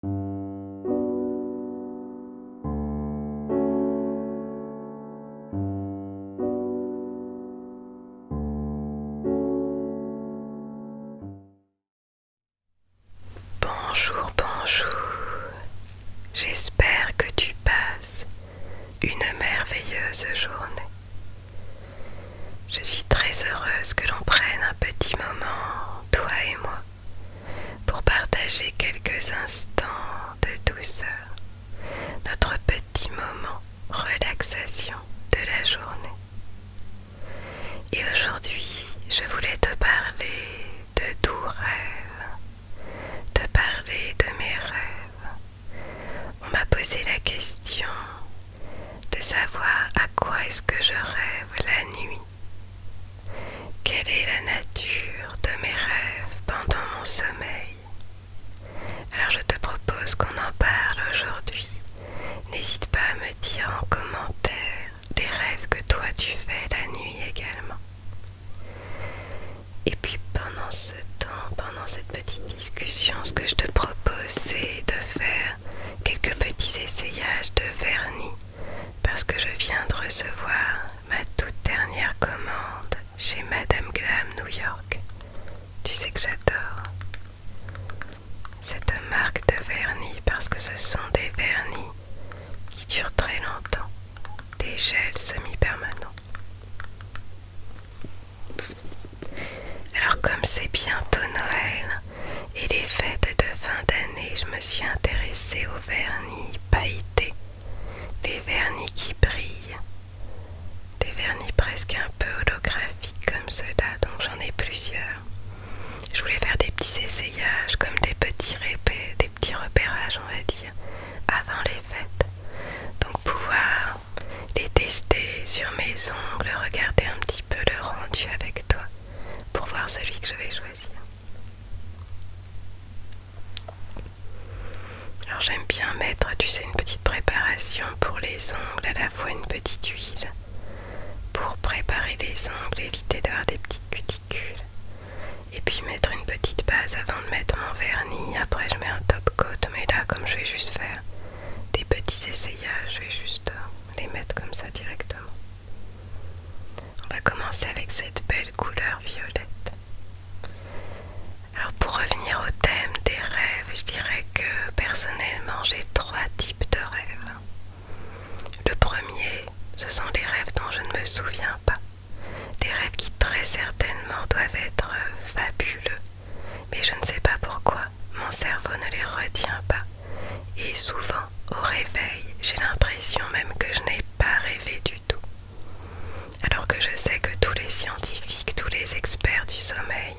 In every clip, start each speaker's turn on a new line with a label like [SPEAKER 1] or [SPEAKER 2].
[SPEAKER 1] Bonjour, bonjour. J'espère que tu passes une merveilleuse journée. Je suis très heureuse que l'on prenne un petit moment, toi et moi, pour partager quelques instants de douceur, notre petit moment relaxation de la journée. Et aujourd'hui, je voulais te parler de doux rêves, te parler de mes rêves. On m'a posé la question de savoir à quoi est-ce que je rêve la nuit. Quelle est la nature de mes rêves pendant mon sommeil Alors je te propose qu'on en parle aujourd'hui. N'hésite pas à me dire en commentaire les rêves que toi tu fais la nuit également. Et puis pendant ce temps, pendant cette petite discussion, ce que je te propose c'est de faire quelques petits essayages de vernis parce que je viens de recevoir ma toute dernière commande chez Madame Glam New York. Tu sais que j'adore cette marque de vernis parce que ce sont des vernis qui durent très longtemps, des gels semi-permanents. Alors comme c'est bientôt Noël, et les fêtes de fin d'année, je me suis intéressée aux vernis pailletés, des vernis qui brillent, des vernis presque un peu holographiques comme ceux-là, donc j'en ai plusieurs. Je voulais faire des petits essayages, comme des petits, des petits repérages, on va dire, avant les fêtes. Donc pouvoir les tester sur mes ongles, regarder un petit peu le rendu avec toi pour voir celui que je vais choisir. Alors j'aime bien mettre, tu sais, une petite préparation pour les ongles, à la fois une petite huile pour préparer les ongles, éviter d'avoir des petites cuticules. Et puis mettre une petite base avant de mettre mon vernis. Après je mets un top coat, mais là comme je vais juste faire des petits essayages, je vais juste les mettre comme ça directement. On va commencer avec cette belle couleur violette. Alors pour revenir au thème des rêves, je dirais que personnellement j'ai trois types de rêves. Le premier, ce sont des rêves dont je ne me souviens pas. Des rêves qui très certainement doivent être fabuleux, mais je ne sais pas pourquoi mon cerveau ne les retient pas. Et souvent, au réveil, j'ai l'impression même que je n'ai pas rêvé du tout. Alors que je sais que tous les scientifiques, tous les experts du sommeil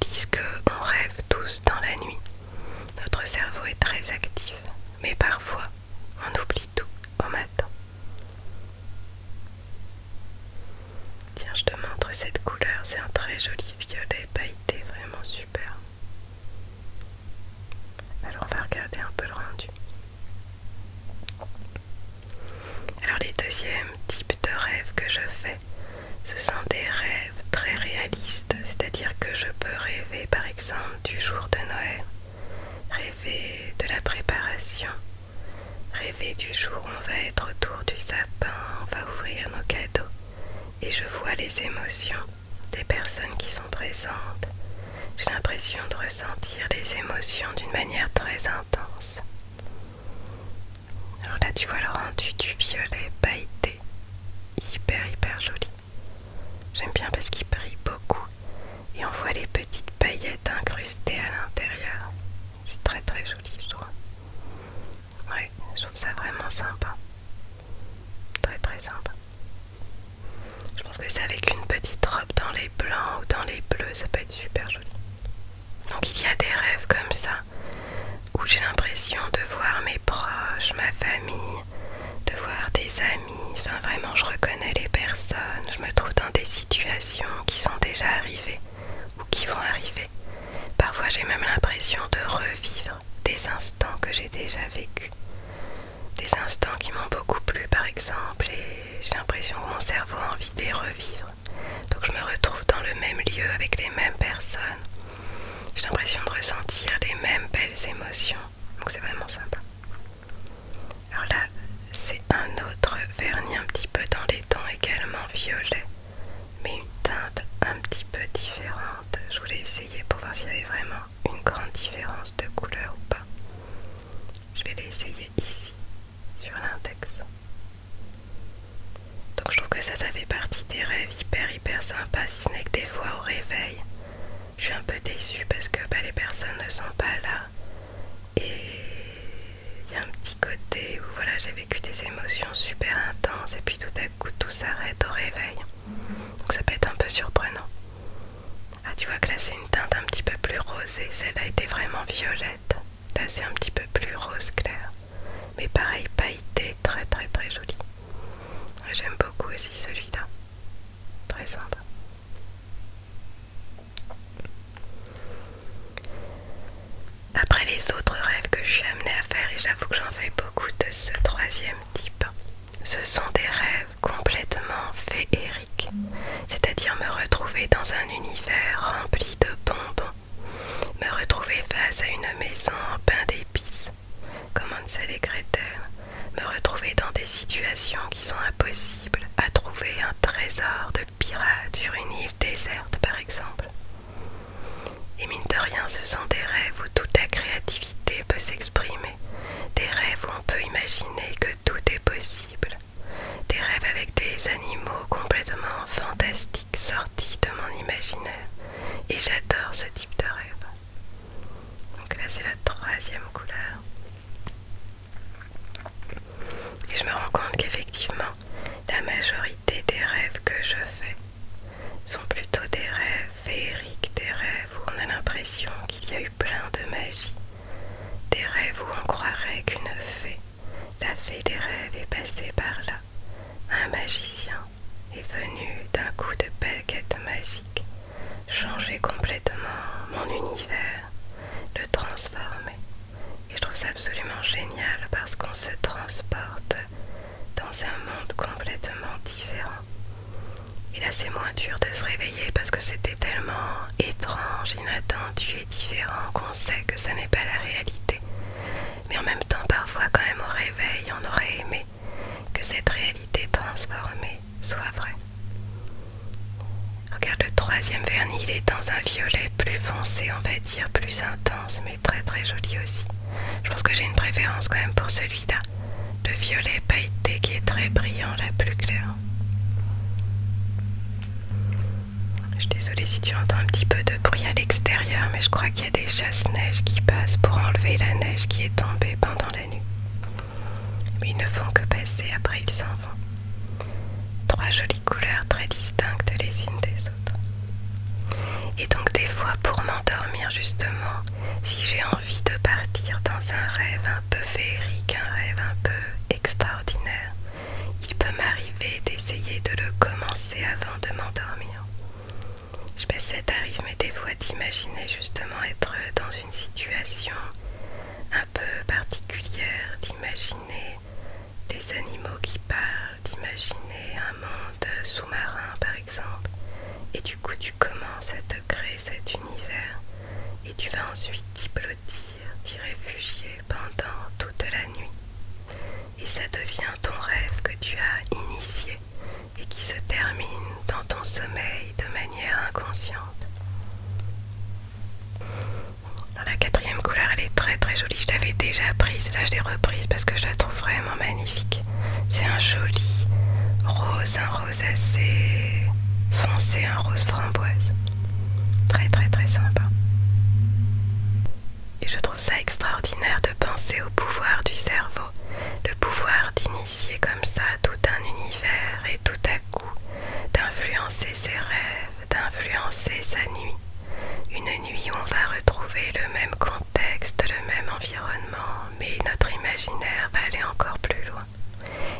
[SPEAKER 1] disent qu'on rêve tous dans la nuit. Notre cerveau est très actif, mais parfois on oublie tout au matin. Tiens, je te montre cette couleur, c'est un très joli violet pailleté. C'était vraiment super. Alors on va regarder un peu le rendu. Alors les deuxièmes types de rêves que je fais, ce sont des rêves très réalistes, c'est-à-dire que je peux rêver par exemple du jour de Noël, rêver de la préparation, rêver du jour où on va être autour du sapin, on va ouvrir nos cadeaux, et je vois les émotions des personnes qui sont présentes. J'ai l'impression de ressentir les émotions d'une manière très intense. Alors là, tu vois le rendu du violet pailleté, hyper hyper joli. J'aime bien parce qu'il brille beaucoup et on voit les petites paillettes incrustées à l'intérieur. C'est très très joli, je trouve. Ouais, je trouve ça vraiment sympa. Très très sympa. Je pense que c'est avec une petite robe dans les blancs ou dans les bleus, ça peut être super joli. Donc il y a des rêves comme ça, où j'ai l'impression de voir mes proches, ma famille, de voir des amis. Enfin vraiment, je reconnais les personnes, je me trouve dans des situations qui sont déjà arrivées ou qui vont arriver. Parfois j'ai même l'impression de revivre des instants que j'ai déjà vécus. Des instants qui m'ont beaucoup plu par exemple et j'ai l'impression que mon cerveau a envie de les revivre. Donc je me retrouve dans le même lieu avec les mêmes personnes. J'ai l'impression de ressentir les mêmes belles émotions. Donc c'est vraiment sympa. Alors là, c'est un autre vernis un petit peu dans les tons également violet mais une teinte un petit peu différente. Je voulais essayer pour voir s'il y avait vraiment une grande différence de couleur ou pas. Je vais l'essayer ici, sur l'index. Donc je trouve que ça, ça fait partie des rêves hyper hyper sympas, si ce n'est que des fois au réveil, je suis un peu déçue parce que bah, les personnes ne sont pas là. Et il y a un petit côté où voilà, j'ai vécu des émotions super intenses et puis tout à coup tout s'arrête au réveil. Donc ça peut être un peu surprenant. Ah tu vois que là c'est une teinte un petit peu plus rosée, celle-là était vraiment violette. Là c'est un petit peu plus rose clair. Mais pareil pailleté, très très très joli. J'aime beaucoup aussi celui-là. Très sympa. Après les autres rêves que je suis amenée à faire, et j'avoue que j'en fais beaucoup de ce troisième type, ce sont des rêves complètement féeriques, c'est-à-dire me retrouver dans un univers rempli de bonbons, me retrouver face à une maison en pain d'épices, comme un et Gretel, me retrouver dans des situations qui sont impossibles à trouver un trésor de pirate sur une île déserte par exemple. Et mine de rien, ce sont des rêves où toute la créativité peut s'exprimer, des rêves où on peut imaginer que tout est possible, des rêves avec des animaux complètement fantastiques sortis de mon imaginaire. Et j'adore ce type de rêve. Donc là, c'est la troisième couleur. Et je me rends compte qu'effectivement, la majorité des rêves que je fais sont plutôt des rêves féeriques, des rêves où on a l'impression qu'il y a eu plein de magie, des rêves où on croirait qu'une fée, la fée des rêves, est passée par là. Un magicien est venu d'un coup de baguette magique changer complètement mon univers, le transformer. Et je trouve ça absolument génial parce qu'on se transporte dans un monde complètement différent. Et là c'est moins dur de se réveiller parce que c'était tellement étrange, inattendu et différent qu'on sait que ça n'est pas la réalité. Mais en même temps parfois quand même au réveil on aurait aimé que cette réalité transformée soit vraie. Regarde le troisième vernis, il est dans un violet plus foncé en fait plus intense, mais très très jolie aussi. Je pense que j'ai une préférence quand même pour celui-là. Le violet pailleté qui est très brillant, la plus claire. Je suis désolée si tu entends un petit peu de bruit à l'extérieur, mais je crois qu'il y a des chasse-neige qui passent pour enlever la neige qui est tombée pendant la nuit. Mais ils ne font que passer, après ils s'en vont. Trois jolies couleurs très distinctes les unes des autres. Et donc des fois pour m'endormir justement, si j'ai envie de partir dans un rêve un peu féerique, un rêve un peu extraordinaire, il peut m'arriver d'essayer de le commencer avant de m'endormir. Je sais que mais des fois d'imaginer justement être dans une situation un peu particulière, d'imaginer des animaux qui parlent, d'imaginer un monde sous-marin par exemple. Et du coup tu commences à te créer cet univers et tu vas ensuite t'y blottir, t'y réfugier pendant toute la nuit. Et ça devient ton rêve que tu as initié et qui se termine dans ton sommeil de manière inconsciente. La quatrième couleur elle est très très jolie, je l'avais déjà prise, là je l'ai reprise parce que je la trouve vraiment magnifique. C'est un joli rose, un rose assez
[SPEAKER 2] foncé, un
[SPEAKER 1] rose framboise. Très très très sympa. Et je trouve ça extraordinaire de penser au pouvoir du cerveau, le pouvoir d'initier comme ça tout un univers et tout à coup d'influencer ses rêves d'influencer sa nuit. Une nuit où on va retrouver le même contexte, le même environnement, mais notre imaginaire va aller encore plus loin.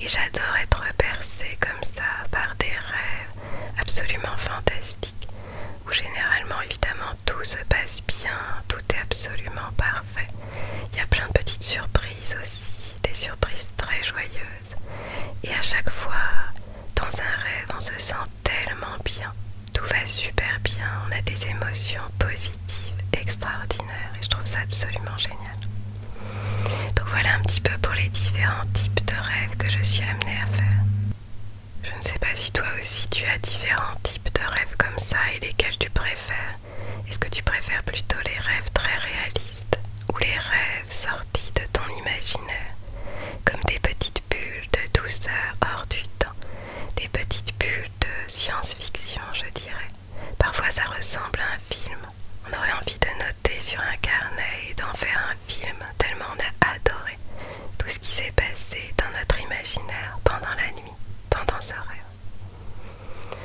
[SPEAKER 1] Et j'adore être percée comme ça par des rêves absolument fantastiques, où généralement évidemment tout se passe bien, tout est absolument parfait. Il y a plein de petites surprises aussi, des surprises très joyeuses. Et à chaque fois, dans un rêve, on se sent tellement bien. Tout va super bien, on a des émotions positives, extraordinaires, et je trouve ça absolument génial. Donc voilà un petit peu pour les différents types de rêves que je suis amenée à faire. Je ne sais pas si toi aussi tu as différents types de rêves comme ça et lesquels tu préfères. Est-ce que tu préfères plutôt les rêves très réalistes ou les rêves sortis de ton imaginaire, comme des petites bulles de douceur hors du temps, des petites bulles de science-fiction, je dirais. Parfois ça ressemble à un film. On aurait envie de noter sur un carnet et d'en faire un film, tellement on a adoré tout ce qui s'est passé dans notre imaginaire pendant la nuit, pendant ce rêve.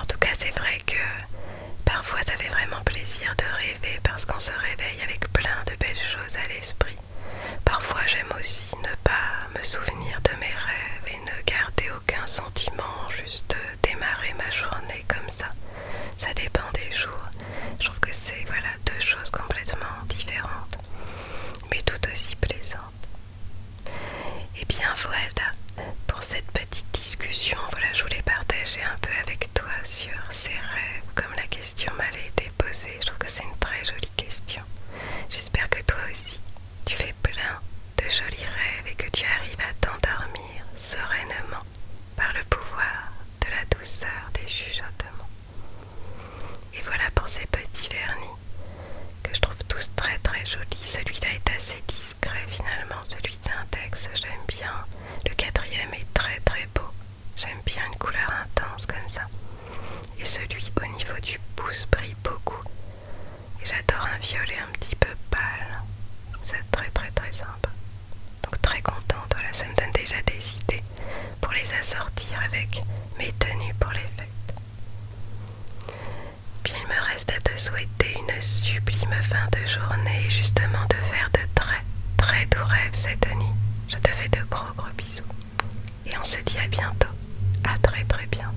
[SPEAKER 1] En tout cas, c'est vrai que Parfois ça fait vraiment plaisir de rêver parce qu'on se réveille avec plein de belles choses à l'esprit. Parfois j'aime aussi ne pas me souvenir de mes rêves et ne garder aucun sentiment, juste démarrer ma journée comme ça. Ça dépend des jours. Je trouve que c'est voilà deux choses complètement différentes, mais tout aussi plaisantes. Et eh bien voilà, pour cette petite discussion. Voilà, je voulais partager un peu avec toi sur ces rêves, comme la question m'avait été posée. Je trouve que c'est une très jolie question. J'espère que toi aussi, tu fais plein de jolis rêves et que tu arrives à t'endormir sereinement par le pouvoir de la douceur des chuchotements. Et voilà pour ces petits vernis que je trouve tous très très jolis. Celui-là est assez discret finalement, celui l'index texte, j'aime bien. Le quatrième est très très beau. J'aime bien une couleur intense comme ça. Et celui au niveau du pouce brille beaucoup. j'adore un violet un petit peu pâle. C'est très très très simple. Donc très contente, voilà, ça me donne déjà des idées pour les assortir avec mes tenues pour les fêtes il me reste à te souhaiter une sublime fin de journée et justement de faire de très très doux rêves cette nuit. Je te fais de gros gros bisous et on se dit à bientôt, à très très bientôt.